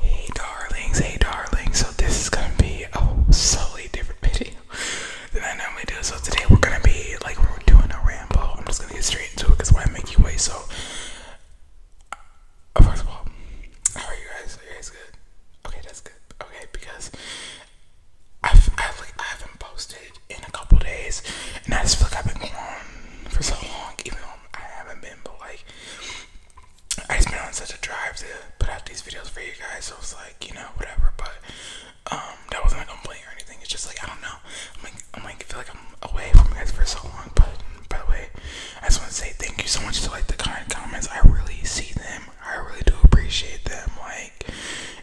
Hey darlings, hey darlings. So this is gonna be a totally different video than I normally do. So today we're gonna be like we're doing a ramble. I'm just gonna get straight into it because why make you wait? So uh, first of all, how are you guys? Are you guys good? Okay, that's good. Okay, because I've I've like I haven't posted in a couple days, and I just feel like I've been gone for so long, even though I haven't been. But like I just been on such a drive to put out these videos for you guys, so it's like, you know, whatever, but um, that wasn't a complaint or anything. It's just like I don't know. I'm like I'm like I feel like I'm away from you guys for so long, but by the way, I just wanna say thank you so much to like the kind comments. I really see them. I really do appreciate them, like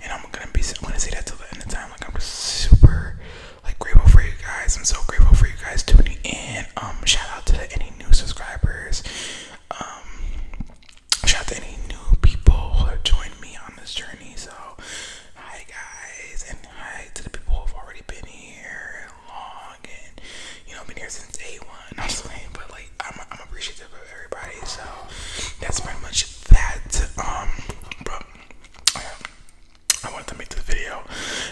and I'm gonna be I'm gonna say that till the end of time. Like I'm just super like grateful for you guys. I'm so grateful for you guys tuning in. Um shout out to any new subscribers. Um, shout out to any new people who have joined me on this journey. So, hi guys, and hi to the people who've already been here long and you know been here since day one. I'm but like I'm, appreciative of everybody. So that's pretty much that. Um, but. I wanted to make the video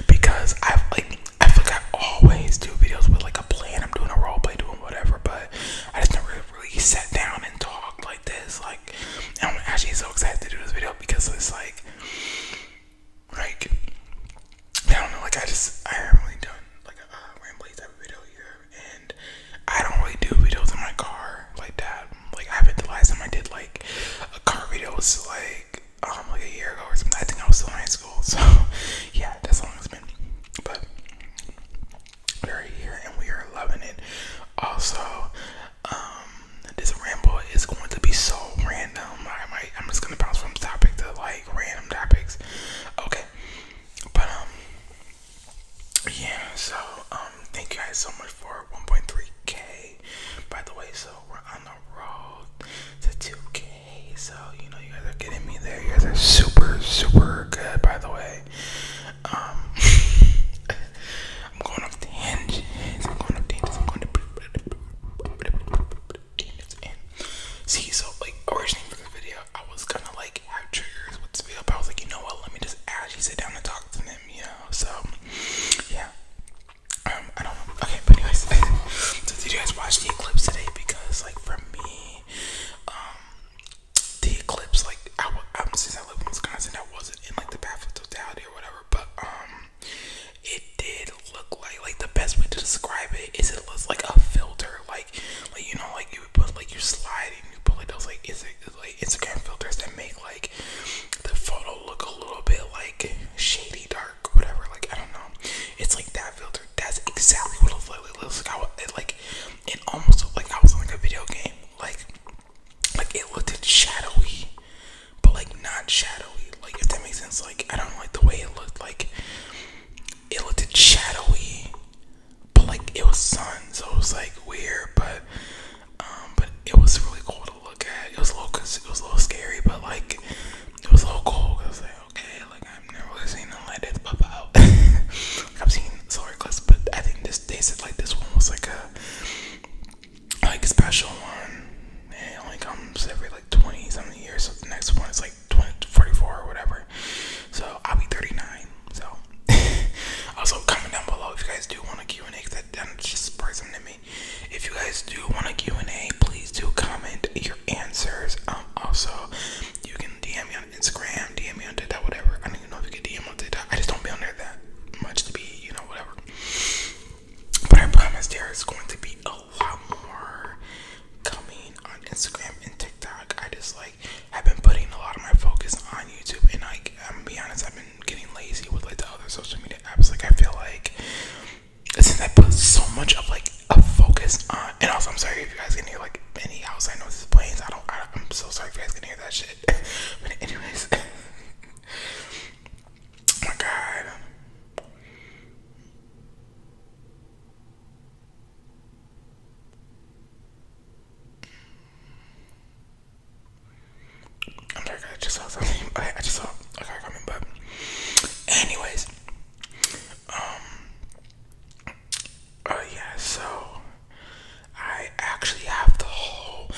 because I've like I feel like I always do videos with like a plan. I'm doing a role play, doing whatever, but I just never really sat down and talked like this. Like, I'm actually so excited to do this video because it's like, like, I don't know. Like, I just I haven't really done like a uh, rambly type video here, and I don't really do videos in my car like that. Like, I haven't the last time I did like a car video was like um, like a year ago or something. I think I was still in high school, so yeah, that's how long it's been. But we're here and we are loving it. Also, um, this ramble is going to be so random. I might I'm just gonna bounce from topic to like random topics. Okay. But um yeah, so um thank you guys so much for 1.3k. By the way, so we're on the road to 2k. Hey, so you know you guys are getting me there. You guys are super, super good, by the way. Um, I'm going off tangents. I'm going off tangents. I'm going to see. So like originally for this video, I was gonna like have triggers with this video, I was like, you know what? Let me just actually sit down and talk to them. You know, so yeah. Um, I don't know. Okay, but anyways, so did you guys watch the eclipse today? Because like for me, um, the eclipse, like I, I um, since I live in Wisconsin, I wasn't in like the path of totality or whatever. But um, it did look like like the best way to describe it is it looks like a filter, like like you know like you would put like you slide and you put like those like is it like Instagram filters that make like the photo look a little bit like shady dark whatever. Like I don't know. It's like that filter. That's exactly what it looks like. it, like it almost looked like I was in like a video game. Like like it looked shadowy, but like not shadowy. Like if that makes sense. Like I don't like the way it looked. Like it looked shadowy, but like it was suns. it was like weird. But um, but it was really cold look at. It was a little, it was a little scary, but like it was a little cool. I was like, okay, like I've never really seen a like this pop out. I've seen solar eclipse, but I think this they said like this one was like a like special one, and it only comes every like twenty something years. So the next one is like 20, or whatever. So I'll be thirty nine. So also comment down below if you guys do want a Q and A. That I'm just surprised I'm if you guys do want a Q&A, please do comment your answers. Um, also, you can DM me on Instagram, DM me on TikTok, whatever. I don't even know if you can DM on TikTok. I just don't be on there that much to be, you know, whatever. But I promise there is going to be a lot more coming on Instagram and TikTok. I just like have been putting a lot of my focus on YouTube, and like I'm gonna be honest, I've been getting lazy with like the other social media apps. Like I feel like since I put so much of like a focus on, and also I'm sorry if you guys can hear like any house. I planes. I don't. I, am so sorry if you guys can hear that shit. but anyways, oh my god. I'm sorry, I just saw something. I just saw a car coming, but Anyways, um, oh yeah, so I actually have the whole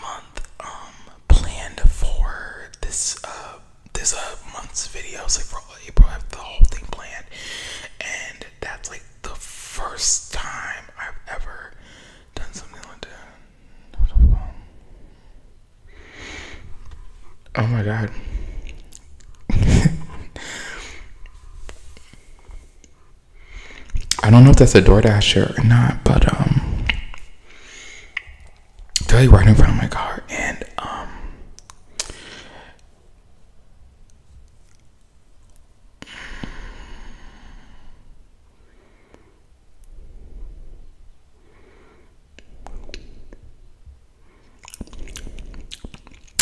month um planned for this uh this uh month's videos like for April. I have the whole thing planned, and that's like the first time I've ever done something like that. Oh my god. I don't know if that's a DoorDasher or not, but um, tell you right in front of my car, and um,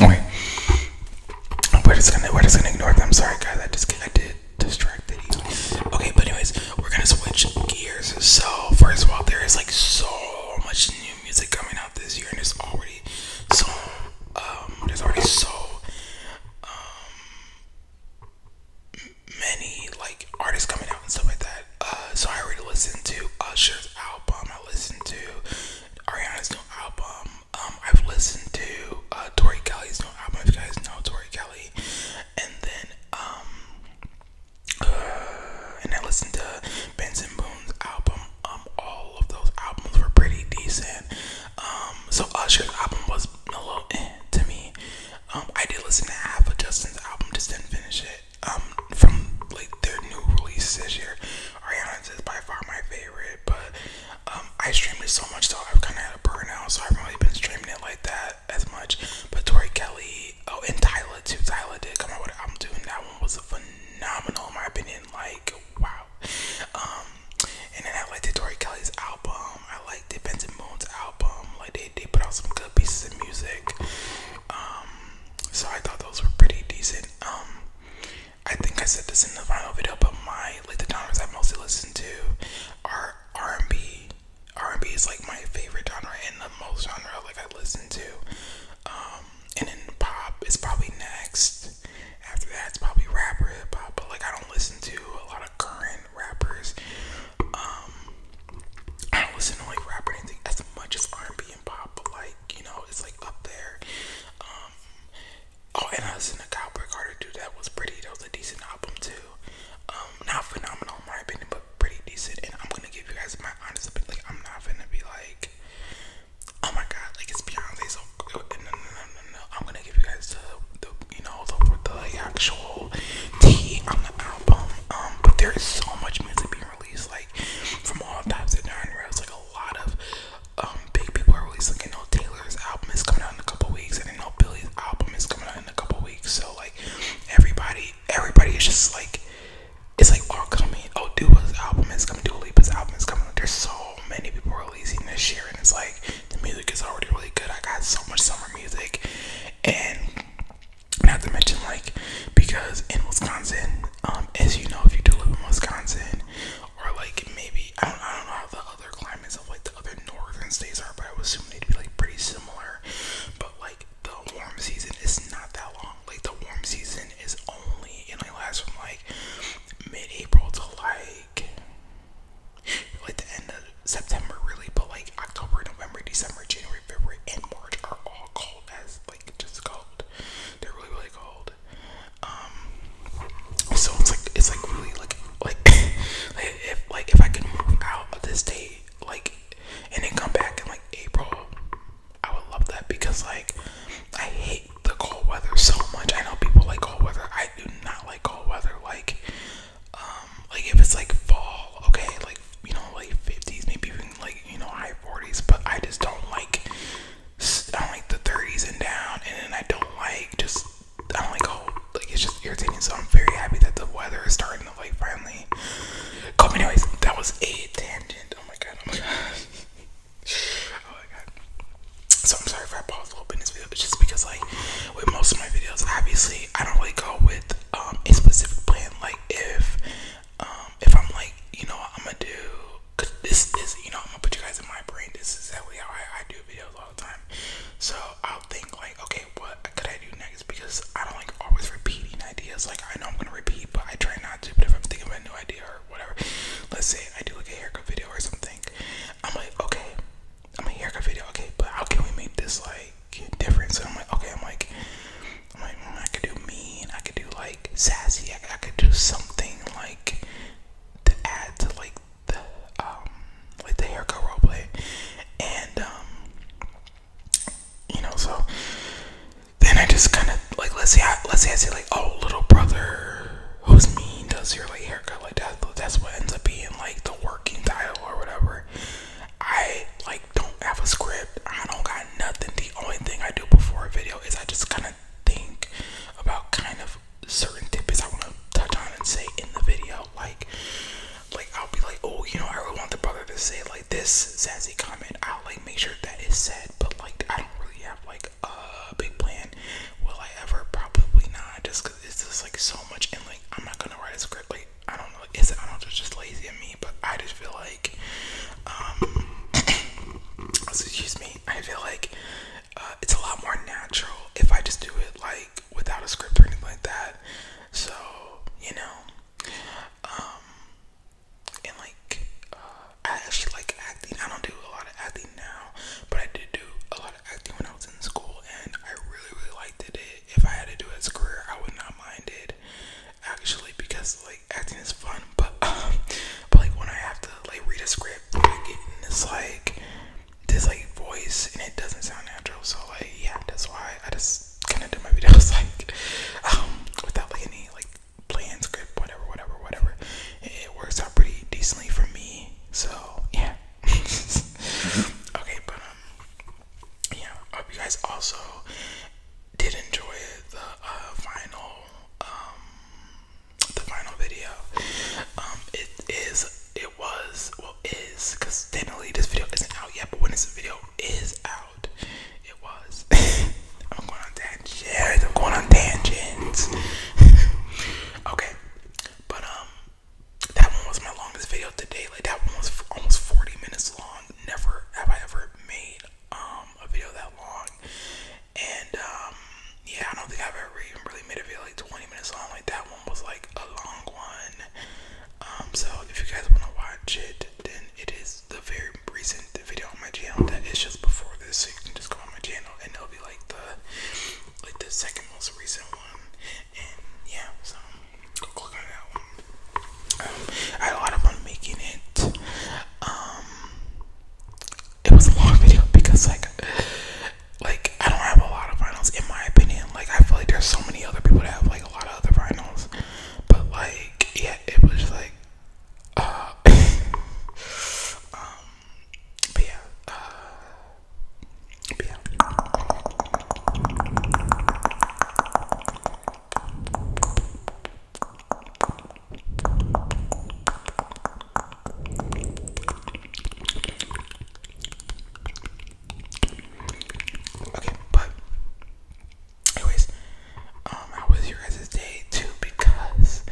Okay. We're just gonna we're just gonna ignore them. Sorry guys, I just I did distract. you. Okay, but anyways, we're gonna switch gears. So first of all, there is like so much new music coming out this year, and it's already so um there's already so um, many like artists coming out and stuff like that. Uh, so I already listened to Usher's uh, album. I listened to Ariana's new album. Um, I've listened to uh, Tori Kelly's new album. If you guys know Tori Kelly, and then um, uh, and I listened to Benson Boone's album. Um, all of those albums were pretty decent. Um, so Usher's album was a little eh to me. Um, I did listen to half of Justin's album, just didn't finish it. Um, from like their new release this year, Ariana's is by far my favorite, but um, I streamed it so much, so I've kind of had a burnout, so I haven't been streaming it like that as much. But Tori Kelly, oh, and Tyler too. Tyler did come out with an album too, and that one was phenomenal in my opinion. Like, wow. Um, and then I liked Tori Kelly's album. I like like Dependent Moon's album. Like they, they put out some good pieces of music. Um, so I thought those were pretty decent. Um, I think I said this in the final video, but my like the genres I mostly listen to are R and B. R and B is like my favorite genre and the most genre like I listen to. Um, and then pop is probably next. After that, it's probably rapper hip hop. But like I don't listen to a lot of current rappers. Um, I don't listen to like rap or anything as much as R&B and pop, but like you know, it's like up there. Um, oh, and I listened to Cowboy Carter too. That was pretty. That was a decent album too. Um, not phenomenal in my opinion, but pretty decent. And I'm gonna give you guys my honest opinion. Like, I'm not gonna be like, oh my god, like it's Beyonce. So no, no, no, no, no. I'm gonna give you guys the you know, the, the actual whole on the album. but there is so much music being released, like from all types of genres. Like a lot of um, big people are releasing. Like, I know Taylor's album is coming out in a couple weeks, and I know Billy's album is coming out in a couple weeks. So like everybody, everybody is just like it's like all coming. Oh, Dua's album is coming. Dua Lipa's album is coming. There's so many people releasing this year, and it's like the music is already really good. I got so much summer music, and not to mention, like, because in Wisconsin, um, as you know, if you do live in Wisconsin, or like maybe I don't, I don't know how the other climates of like the other northern states are, but I would assume they'd be like pretty similar. But like the warm season is not that long. Like the warm season is only it only lasts from like mid-April to like like the end of September really, but like October, November, December, January, February, and March are all cold as like just cold. They're really really cold. Um, so it's like it's like really like like like if like if I can move out of this state like and then come back in like April, I would love that because like I hate the cold weather so much. I know people like cold weather. I do not like cold weather. Like um, like if it's like fall, okay, like you know, like 50s, maybe even like you know, high 40s, but I just don't like, I don't like the 30s and down, and then I don't like just, I don't like cold, like it's just irritating. So I'm very happy that the weather is starting to like finally come. Anyways, that was a tangent. Oh my god, oh my god, oh So I'm sorry if I paused a little bit in this video, just because like with most of my videos. Obviously, I don't really go with um, a specific plan. Like if um, if I'm like, you know, I'm gonna do cause this is you know I'm gonna put you guys in my brain. This is exactly how I, I do videos all the time. So I'll think like, okay, what could I do next? Because I don't like always repeating ideas. Like I know I'm gonna repeat, but I try not to. But if I'm thinking of a new idea or whatever, let's say I do like a haircut video or something, I'm like, okay, I am mean, haircut video, okay, but how can we make this like different? So I'm like, okay, I'm like, I'm like, mm, I could do mean, I could do like sassy, I, could do something like to add to like the um like the haircut roleplay, and um, you know, so then I just kind of like let's see, I, let's say I see, like, oh, little brother, who's mean does your like haircut like that? That's what ends up being like the working title or whatever. I like don't have a script. I don't got nothing. The only thing I do before a video is I just kind of think about kind of certain tidbits I want to touch on and say in the video. Like, like I'll be like, oh, you know, I really want the brother to say like this sassy comment. I'll like make sure that is said, but like I don't really have like a big plan. Will I ever? Probably not. Just cause it's just like so much, and like I'm not gonna write a script. I don't know. Is it? I don't know. It's just lazy of me, but I just feel like, um, excuse me. I feel like uh, it's a lot more natural if I just do it like without a script or anything like that. So you know, um, and like uh, I actually like acting. I don't do a lot of acting now, but I did do a lot of acting when I was in school, and I really really liked It if I had to do as a career, I would not mind it actually because like acting is fun. But um, but like when I have to like read a script, I get this like this like voice and it doesn't sound natural. So like yeah, that's why I just kind of do my videos like um without like any like plan script, whatever, whatever, whatever. It, it works out pretty decently for me. So yeah. Mm-hmm. okay, but um yeah, I hope you guys also did enjoy the uh, final um, the final video. Um, it is it was well is because technically this video isn't out yet, but when this video is out, it was. I'm going on tangents. I'm going on tangents. okay, but um, that one was my longest video to date. Like that one was almost 40 minutes long. Never have I ever made um a video that long. And um yeah, I don't think I've ever even really made a video like 20 minutes long. Like that one was like a long one. Um so if you guys want to watch it, then it is the very recent video on my channel that is just before this. So you can just go on my channel and it'll be like the like the second most recent one. And yeah, so I had a lot of fun making it. Um, it was a long video because like, like I don't have a lot of finals in my opinion. Like I feel like there's so many other people that have like a lot of other finals, but like yeah, it was like, uh, um, but yeah, uh, Okay, but anyways, um, how was your guys' too? Because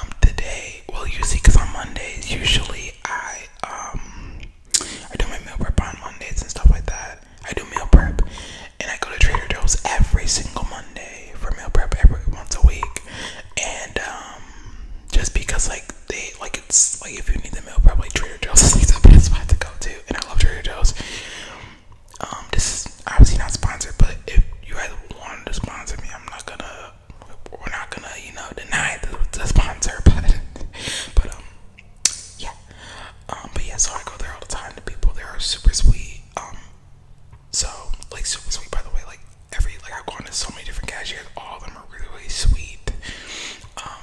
um, today, well, you see, on Mondays usually I um I do my meal prep on Mondays and stuff like that. I do meal prep, and I go to Trader Joe's every single Monday for meal prep every once a week. And um, just because like they like it's like if you need the meal prep, like Trader Joe's is the best spot to go to, and I love Trader Joe's. Um, this is obviously not sponsored, but if you guys wanted to sponsor me, I'm not gonna. We're not gonna, you know, deny the, the sponsor, but but um, yeah. Um, but yeah, so I go there all the time. The people there are super sweet. Um, so like super sweet. By the way, like every like I've gone to so many different cashiers. All of them are really sweet. Um,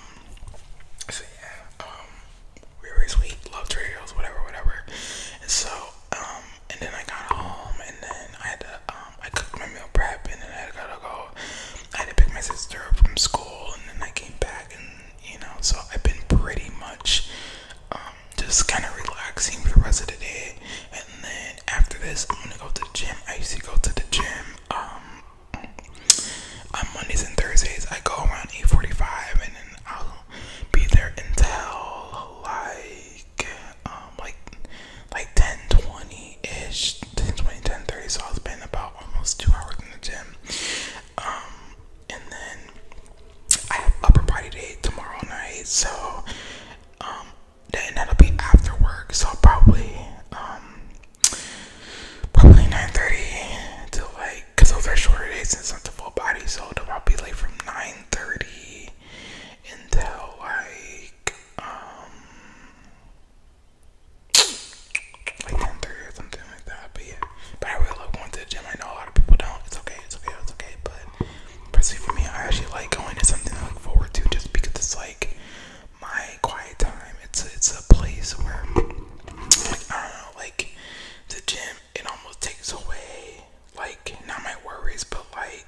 so yeah. really, sweet. Love Trails, whatever, whatever. so and then I got home, and then I had to I cooked my meal prep, and then I had to go I had to pick my sister up from school and then I came back and you know, so I've been pretty much um, just kind of relaxing for the rest of the day. And then after this, I'm gonna go to the gym. I used to go to the gym um, on Mondays and Thursdays. I go around 8:45, and then I'll be there until like um, like like 10:20 20-ish, 20, 10, 30. So I was spending about almost two hours in the gym. Um, and then I have upper body day tomorrow night. So um, then that'll be after work. So I'll probably um probably 9:30 to like, cause those are shorter days since I'm to full body. So i will probably be late from 9:30 until like um like one thirty or something like that. But yeah, but I really love going to the gym. I know a lot of people don't. It's okay. It's okay. It's okay. But personally, for me, I actually like going to something I look forward to just because it's like my quiet time. It's a, it's a place where like I don't know, like the gym. It almost takes away like not my worries, but like.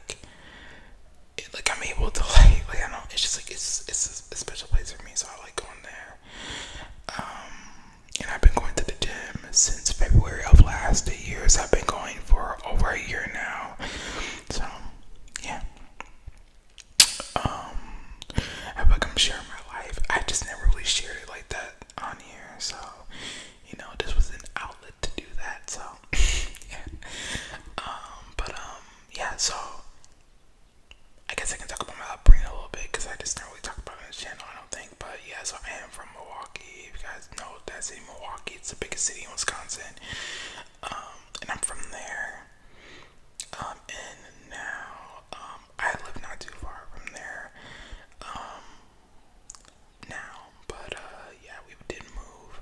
It, like I'm able to like like I don't it's just like it's it's a special place for me, so I like going there. Um, and I've been going to the gym since February of last year, so I've been going for over a year now. So, yeah. Um, I feel like sharing my life. I just never really shared like that on here, so you know, this was an outlet to do that. So, yeah. Um, but yeah. So, I guess I can talk about my upbringing a little bit because I just don't really talk about it on this channel, I don't think. But yeah, so I am from Milwaukee. If you guys know that's city, Milwaukee, it's the biggest city in Wisconsin. Um, and I'm from there. Um, and now, um, I live not too far from there. now, but uh, yeah, we did move.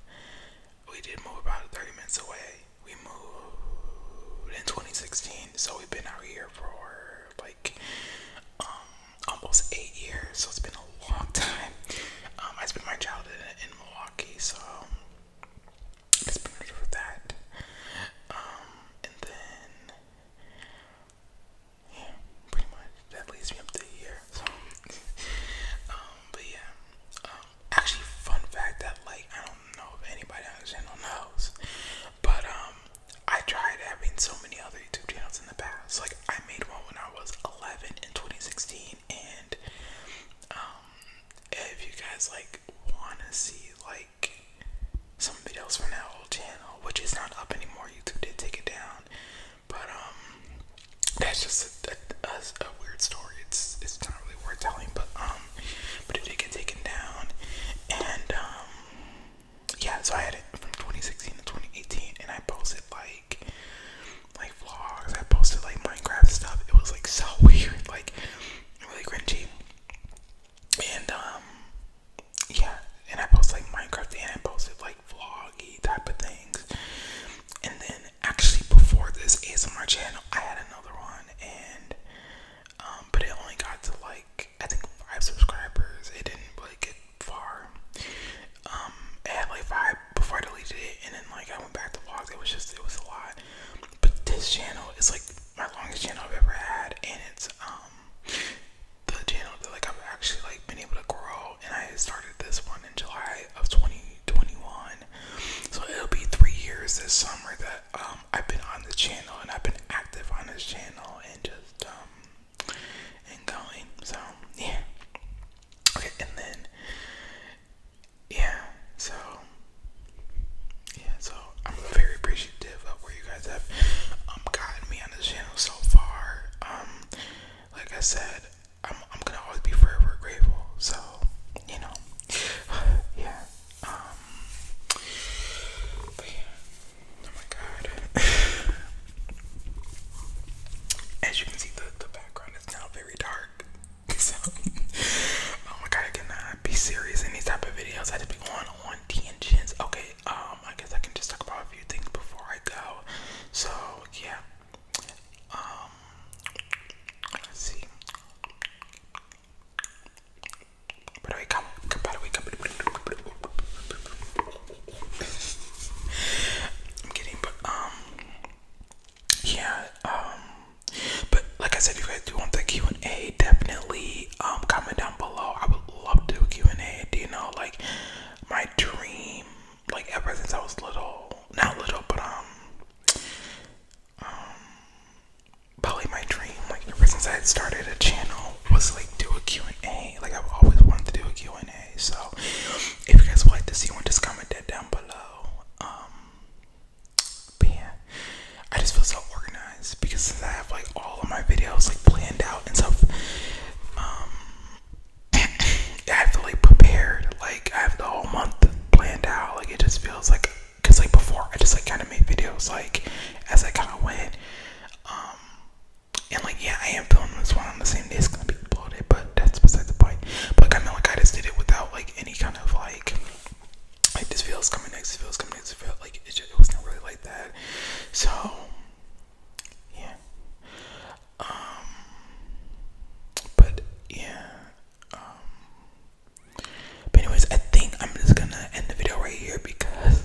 We did move about 30 minutes away we moved in 2016, so we've been out here for like um, almost eight years, so it's been a long time. Um, I spent my childhood in, Milwaukee, so it's good for that. Um, and then yeah, pretty much that leads me up to here. So, um, but yeah, um, actually, fun fact that like I don't know if anybody on the channel knows, but um, I tried having so many other YouTube channels in the past. Like I made one when I was 11 in 2016, and um, if you guys like wanna see like some videos from that old channel, which is not up anymore, YouTube did take it down, but um, that's just it's a, a weird story. It's it's not really worth telling, but um, but it did get taken down, and um, yeah. So I had it from 2016 to 2018, and I posted like like vlogs. I posted like Minecraft stuff. It was like so weird, like really cringy, and um, yeah. And I posted like Minecraft, and I posted like vloggy type of things, and then actually before this ASMR channel, I had another one, and um, but it only got to like I think five subscribers. It didn't really get far. Um, it had like five before I deleted it, and then like I went back to vlogs. It was just it was a lot. But this channel is like my longest channel I've ever had, and it's um the channel that like I've actually like been able to grow. And I started this one in July of 2021, so it'll be three years this summer that um, I've been on this channel and I've been active on this channel and just um and going. So yeah. Okay, and then yeah, so yeah, so I'm very appreciative of where you guys have um, gotten me on this channel so far. Um, like I said, I'm I'm gonna always be forever grateful. So, you know, um, yeah. Oh my God. As you can see, the the background is now very dark. So, oh my God, I be serious in these type of videos. I just be going on tangents. Okay. Um, I guess I can just talk about a few things before I go. So yeah. Um, see. But wake up, but wake up. I'm kidding, but um, yeah, um, but like I said, if you guys do want the Q and A, definitely um comment down below. I would love to do Q and A. Do you know like my dream? Like ever since I was little, not little, but um, um, probably my dream, like ever since I started a channel, was like do a and a Like I've always wanted to do a and a So if you guys would like to see one, just comment that down below. Um, but yeah, I just feel so organized because since I have like all of my videos like planned out and stuff, um, I have to like prepared. Like I have the whole month planned out. Like it just feels like, cause like before I just like kind of made videos like as I kind of went. Um, and like yeah, I am filming this one on the same day it's gonna be uploaded, but that's beside the point. But like, I mean, like I just did it without like any kind of like like just feels coming next, this feels coming next, this feels like it, just, it wasn't really like that. So yeah. Um, but yeah, um, but anyways, I think I'm just gonna end the video right here because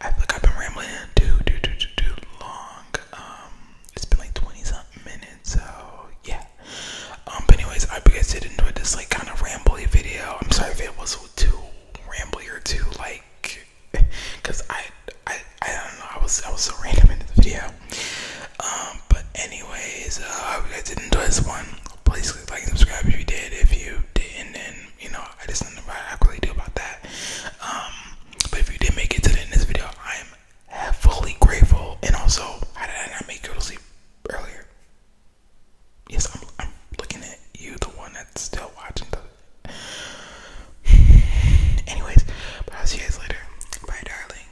I feel I've been rambling too, too, too, too, too long. Um, it's been like 20 something minutes, so yeah. Um, but anyways, I hope you guys did enjoy this like kind of rambling video. I'm sorry if it was too rambling or too like, cause I, I, I don't know. I was, I was so random in the video. Um, um, but anyways, uh, I hope you guys did enjoy this one. Please click like and subscribe if you did. If you didn't, then you know I just don't know what I really do about that. Um, but if you did make it to the end of this video, I am heavily grateful. And also, how did I not make you to sleep earlier? Yes, I'm, looking at you, the one that's still watching. The... Anyways, but I'll see you guys later. Bye, darling.